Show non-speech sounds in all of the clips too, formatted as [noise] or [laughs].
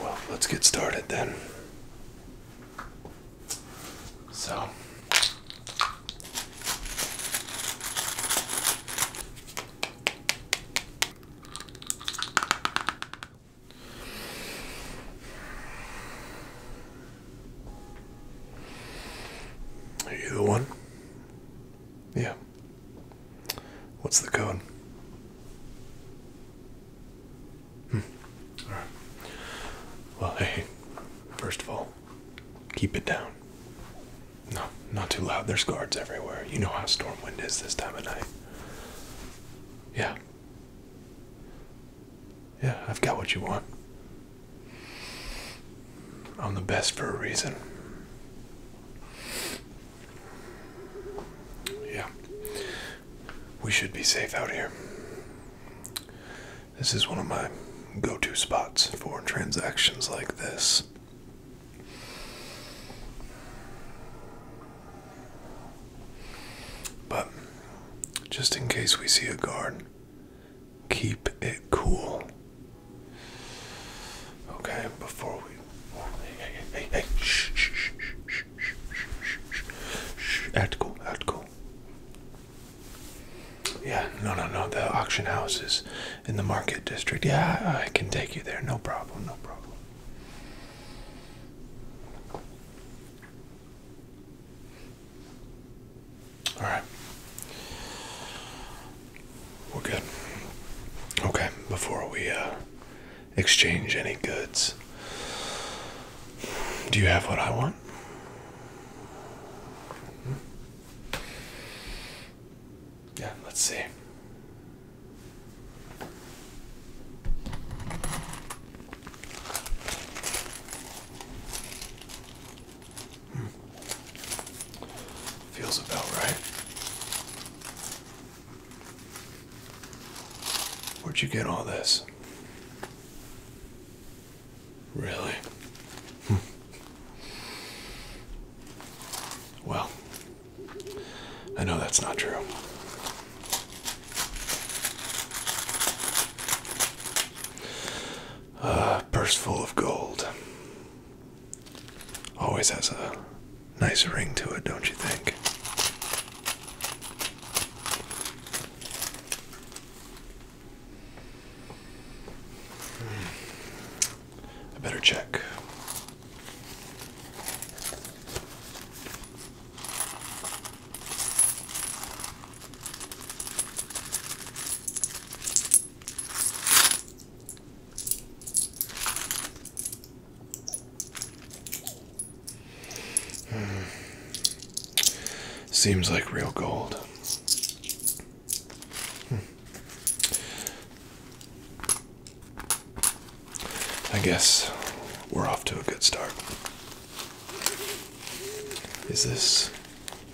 Well, let's get started then. So, are you the one? Yeah. What's the code? Hmm. All right. Well, hey, first of all, keep it down. No, not too loud. There's guards everywhere. You know how stormwind is this time of night. Yeah. Yeah, I've got what you want. I'm the best for a reason. Yeah we should be safe out here. This is one of my go to spots for transactions like this. But just in case we see a guard, keep it cool. Okay, before we hey, hey, hey, shh, shh, shh, shh, shh, shh, Act cool, act cool. Yeah, no, no, no. The auction house is in the market district. Yeah, I, I can take you there. No problem, no problem. All right. We're good. Okay, before we uh exchange any goods. Do you have what I want? Yeah, let's see. Hmm. Feels about right. Where'd you get all this? Really? Hmm. well, I know that's not true. A purse full of gold always has a Nice ring to it, don't you think? Hmm. I better check. Hmm. Seems like real gold. Hmm. I guess we're off to a good start. Is this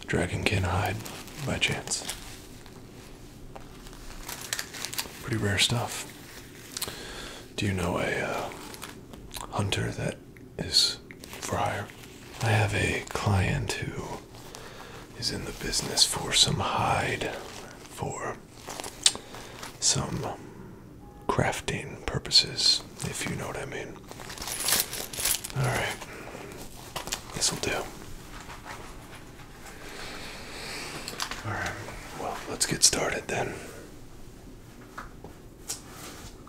Dragonkin hide by chance? Pretty rare stuff. Do you know a uh, hunter that is friar? I have a client who is in the business for some hide, for some crafting purposes, if you know what I mean. Alright, this'll do. All right. Well, let's get started then.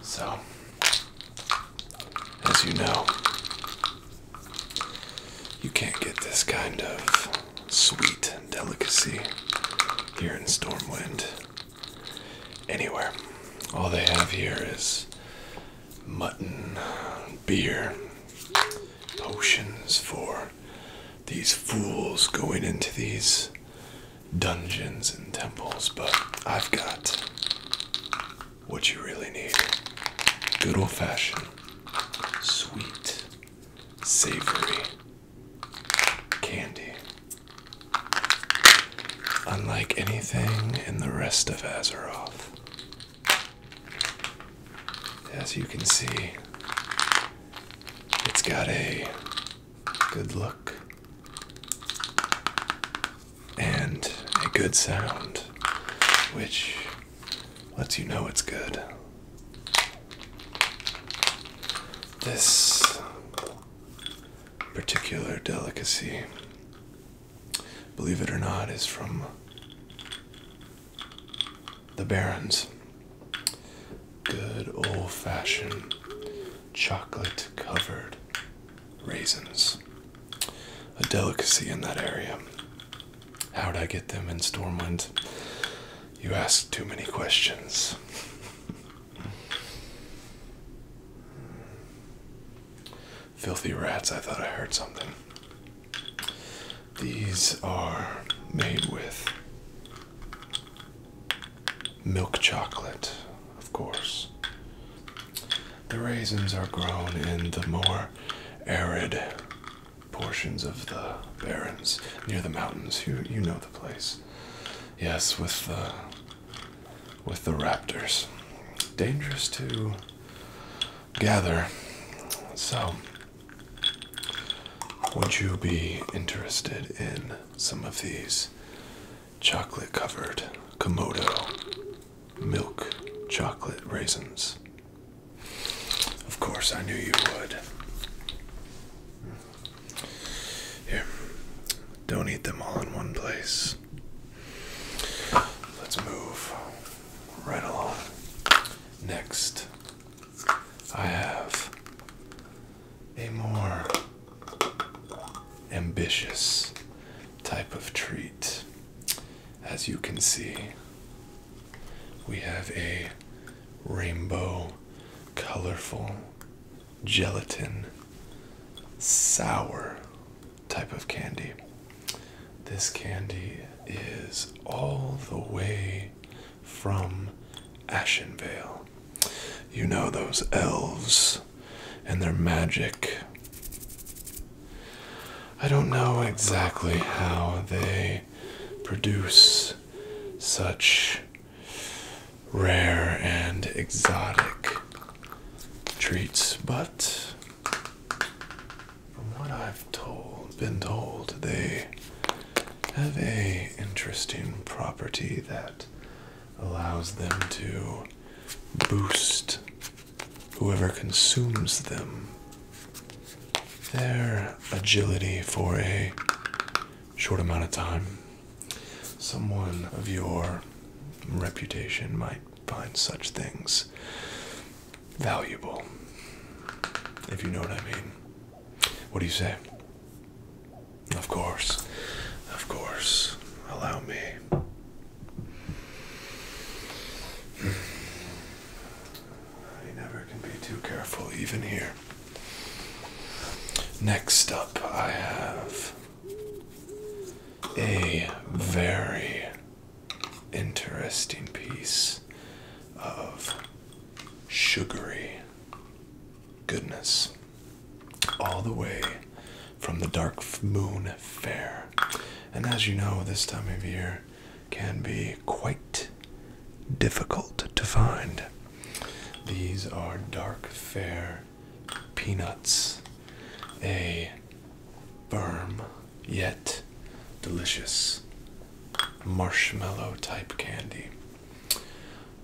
So, as you know, you can't get this kind of sweet delicacy here in Stormwind anywhere. All they have here is mutton, beer, potions for these fools going into these dungeons and temples, but I've got what you really need good old fashioned, sweet, savory candy. Unlike anything in the rest of Azeroth. As you can see, it's got a good look and a good sound, which lets you know it's good. This particular delicacy, believe it or not, is from the Barons. Good old fashioned chocolate covered raisins. A delicacy in that area. How'd I get them in Stormwind? You ask too many questions. Filthy rats, I thought I heard something. These are made with milk chocolate, of course. The raisins are grown in the more arid portions of the barrens near the mountains. You you know the place. Yes, with the with the raptors. Dangerous to gather. So would you be interested in some of these chocolate covered Komodo milk chocolate raisins? Of course, I knew you would. Here, don't eat them all in one place. Let's move right along. Next, I have a more ambitious type of treat. As you can see, we have a rainbow, colorful, gelatin, sour type of candy. This candy is all the way from Ashenvale. You know those elves and their magic. I don't know exactly how they produce such rare and exotic treats, but from what I've told, been told, they have a interesting property that allows them to boost whoever consumes them. Their agility for a short amount of time. Someone of your reputation might find such things valuable, if you know what I mean. What do you say? Of course, of course, allow me. Hmm. I never can be too careful, even here. Next up, I have a very interesting piece of sugary goodness all the way from the Dark Moon Fair. And as you know, this time of year can be quite difficult to find. These are Dark Fair peanuts, a firm yet delicious marshmallow type candy.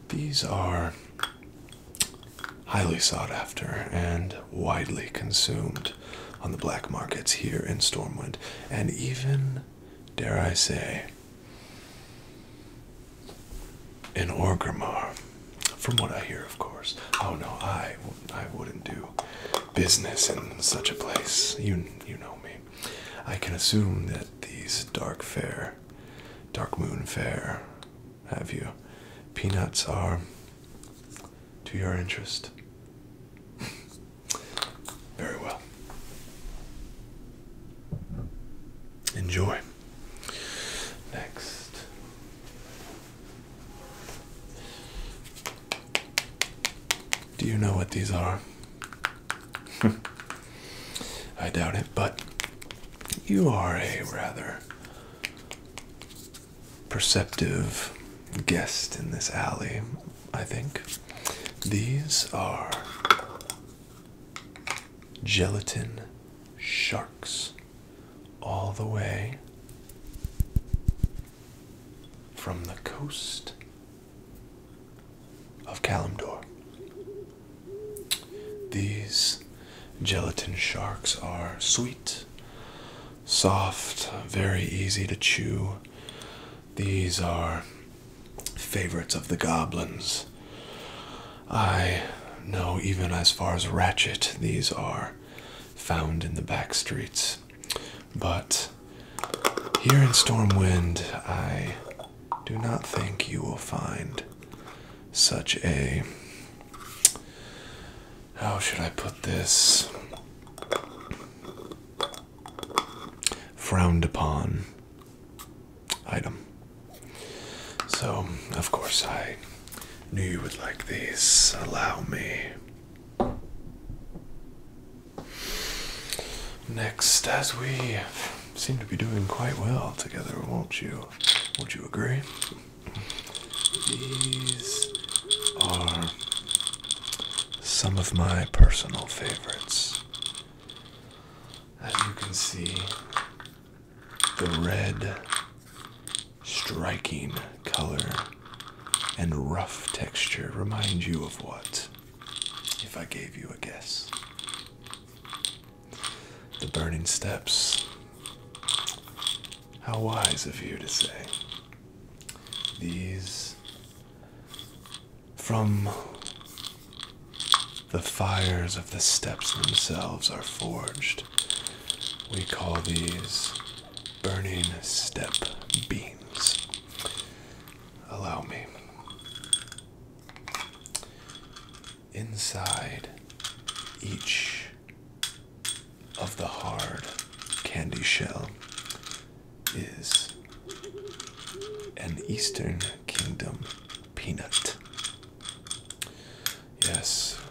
These are highly sought after and widely consumed on the black markets here in Stormwind, and even, dare I say, in Orgrimmar. From what I hear, of course. Oh no, I, I wouldn't do business in such a place. You, you know me. I can assume that these dark fair, dark moon fair, have you, peanuts are to your interest. [laughs] Very well. Enjoy. Next. Do you know what these are? [laughs] I doubt it, but you are a rather perceptive guest in this alley, I think. These are gelatin sharks all the way from the coast of Kalimdor. These gelatin sharks are sweet, soft, very easy to chew. These are favorites of the goblins. I know even as far as Ratchet, these are found in the back streets. But here in Stormwind, I do not think you will find such a. How should I put this? Frowned upon item. So, of course, I knew you would like these. Allow me. Next, as we seem to be doing quite well together, won't you? Would you agree? These are some of my personal favorites. As you can see, the red striking color and rough texture remind you of what? If I gave you a guess. The burning steps. How wise of you to say. These from the fires of the steps themselves are forged. We call these burning step beans. Allow me. Inside each of the hard candy shell is an Eastern Kingdom peanut. Yes,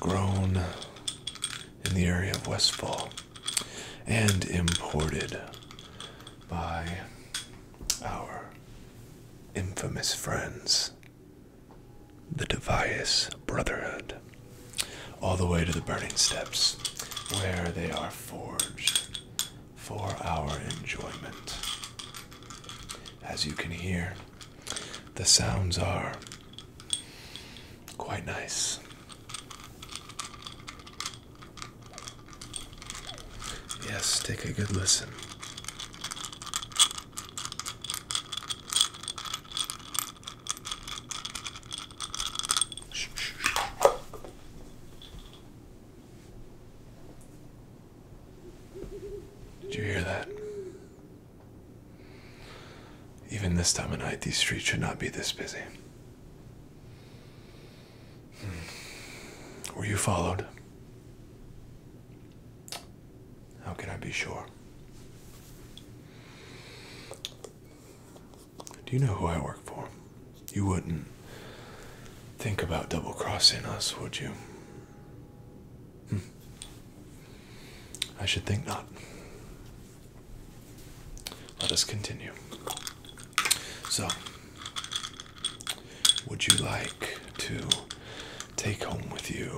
grown in the area of Westfall and imported by our infamous friends, the Device Brotherhood, all the way to the burning steps where they are forged for our enjoyment. As you can hear, the sounds are Quite nice. Yes, take a good listen. Did you hear that? Even this time of night, these streets should not be this busy. Hmm. Were you followed? How can I be sure? Do you know who I work for? You wouldn't think about double crossing us, would you? Hmm. I should think not. Let us continue. So, would you like to take home with you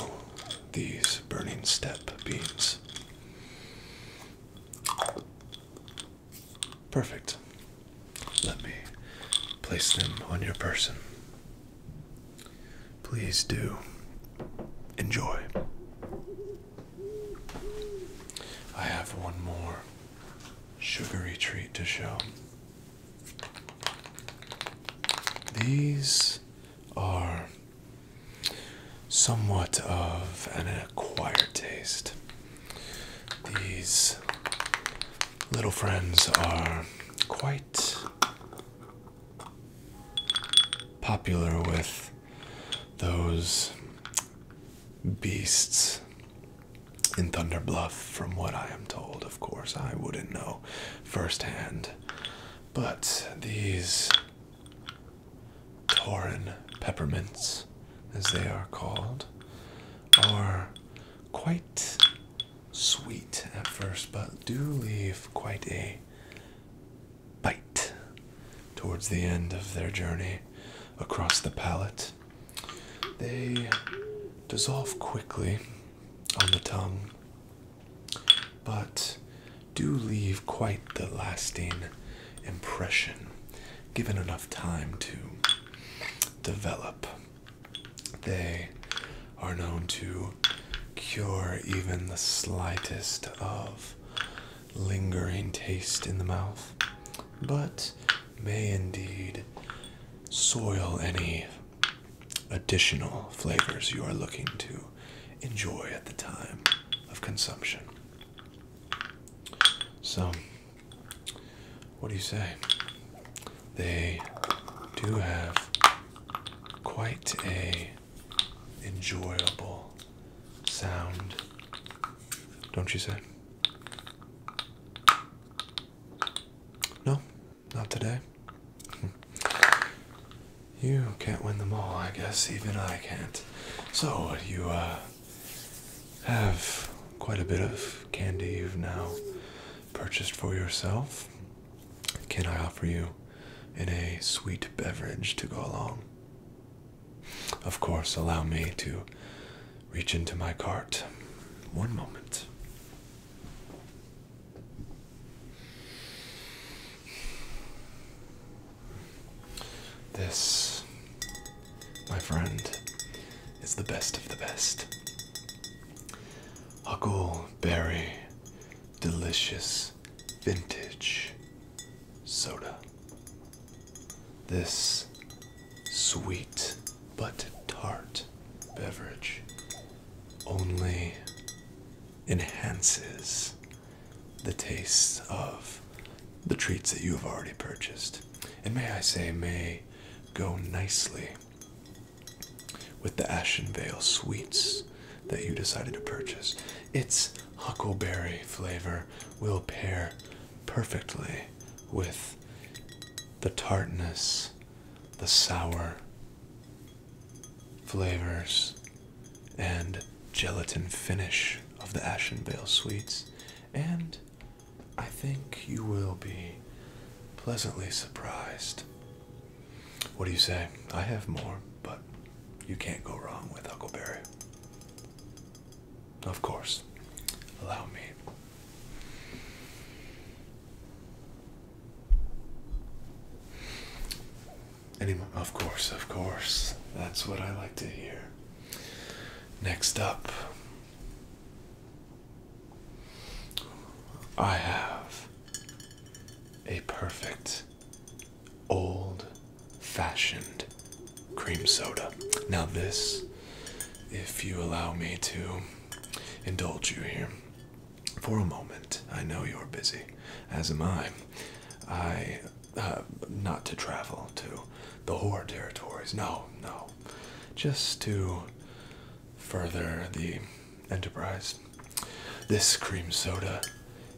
these burning step beans? Perfect. Let me place them on your person. Please do enjoy. I have one more sugary treat to show. These are somewhat of an acquired taste. These little friends are quite popular with those beasts in Thunderbluff, from what I am told. Of course, I wouldn't know firsthand. But these Tauren peppermints, as they are called, are quite sweet at first, but do leave quite a bite towards the end of their journey across the palate. They dissolve quickly on the tongue, but do leave quite the lasting impression given enough time to develop. They are known to cure even the slightest of lingering taste in the mouth, but may indeed soil any additional flavors you are looking to enjoy at the time of consumption. So, what do you say? They do have quite a enjoyable sound, don't you say? No, not today. [laughs] You can't win them all, I guess. Even I can't. So you uh, have quite a bit of candy you've now purchased for yourself. Can I offer you in a sweet beverage to go along. Of course, allow me to reach into my cart. One moment. This, my friend, is the best of the best. Huckleberry, delicious vintage soda. This sweet but tart beverage only enhances the taste of the treats that you have already purchased. And may I say, may go nicely with the Ashen Vale sweets that you decided to purchase. It's huckleberry flavor will pair perfectly with the tartness, the sour flavors, and gelatin finish of the Ashen Bale sweets, and I think you will be pleasantly surprised what do you say? I have more, but you can't go wrong with Huckleberry. Of course. Allow me. Anyone? Of course, of course. That's what I like to hear. Next up, I have a perfect old fashioned cream soda. Now, this, if you allow me to indulge you here for a moment, I know you're busy, as am I. I, uh, not to travel to the horror territories, no, no. Just to further the enterprise this. cream soda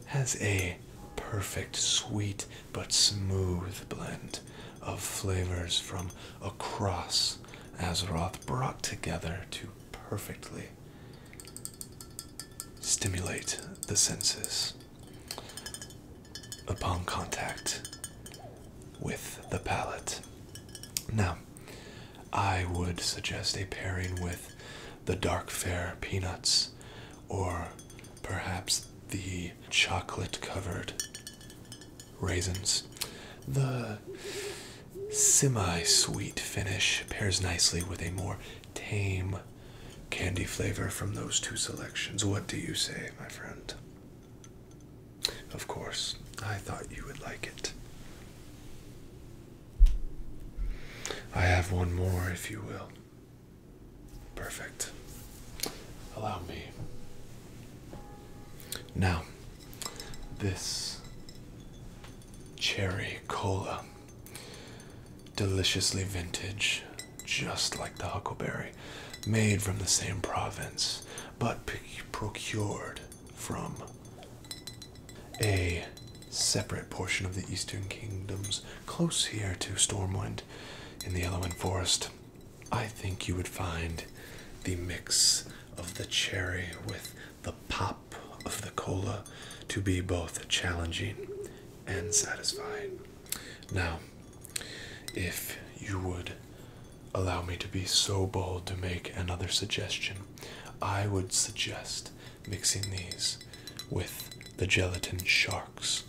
has a perfect sweet but smooth blend of flavors from across Azeroth brought together to perfectly stimulate the senses upon contact with the palate. Now, I would suggest a pairing with the dark fair peanuts, or perhaps the chocolate covered raisins. The semi sweet finish pairs nicely with a more tame candy flavor from those two selections. What do you say, my friend? Of course, I thought you would like it. I have one more, if you will. Perfect. Allow me. Now, this cherry cola. Deliciously vintage, just like the huckleberry, made from the same province, but procured from a separate portion of the Eastern Kingdoms, close here to Stormwind in the Elwyn Forest. I think you would find the mix of the cherry with the pop of the cola to be both challenging and satisfying. Now, if you would allow me to be so bold to make another suggestion, I would suggest mixing these with the gelatin sharks.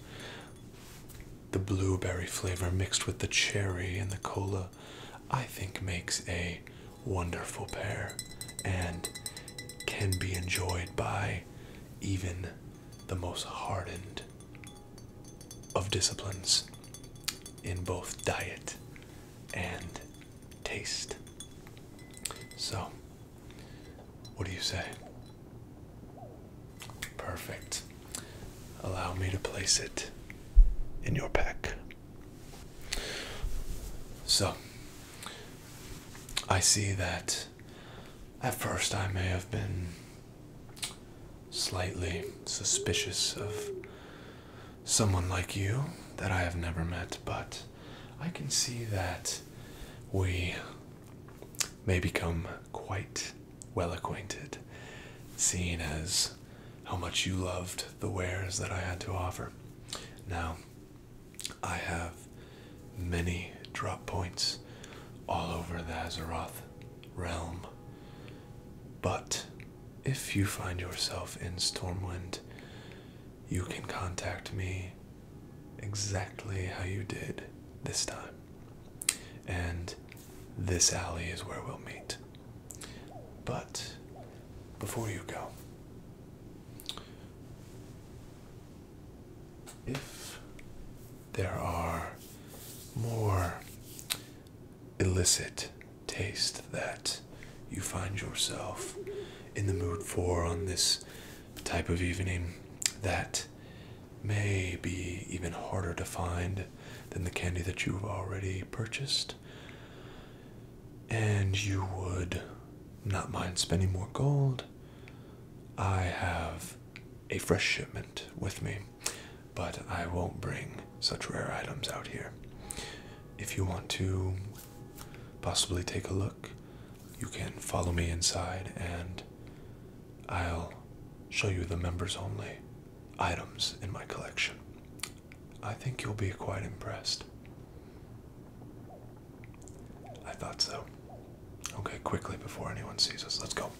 The blueberry flavor mixed with the cherry and the cola, I think, makes a wonderful pair and can be enjoyed by even the most hardened of disciplines in both diet and taste. So, what do you say? Perfect. Allow me to place it in your pack. So, I see that at first I may have been slightly suspicious of someone like you that I have never met, but I can see that we may become quite well acquainted, seeing as how much you loved the wares that I had to offer. Now, I have many drop points all over the Azeroth realm, but if you find yourself in Stormwind, you can contact me exactly how you did this time. And this alley is where we'll meet. But before you go, if there are more illicit taste that you find yourself in the mood for on this type of evening that may be even harder to find than the candy that you've already purchased. And you would not mind spending more gold. I have a fresh shipment with me, but I won't bring such rare items out here if you want to possibly take a look, you can follow me inside and I'll show you the members only items in my collection. I think you'll be quite impressed. I thought so. Okay, quickly before anyone sees us, let's go.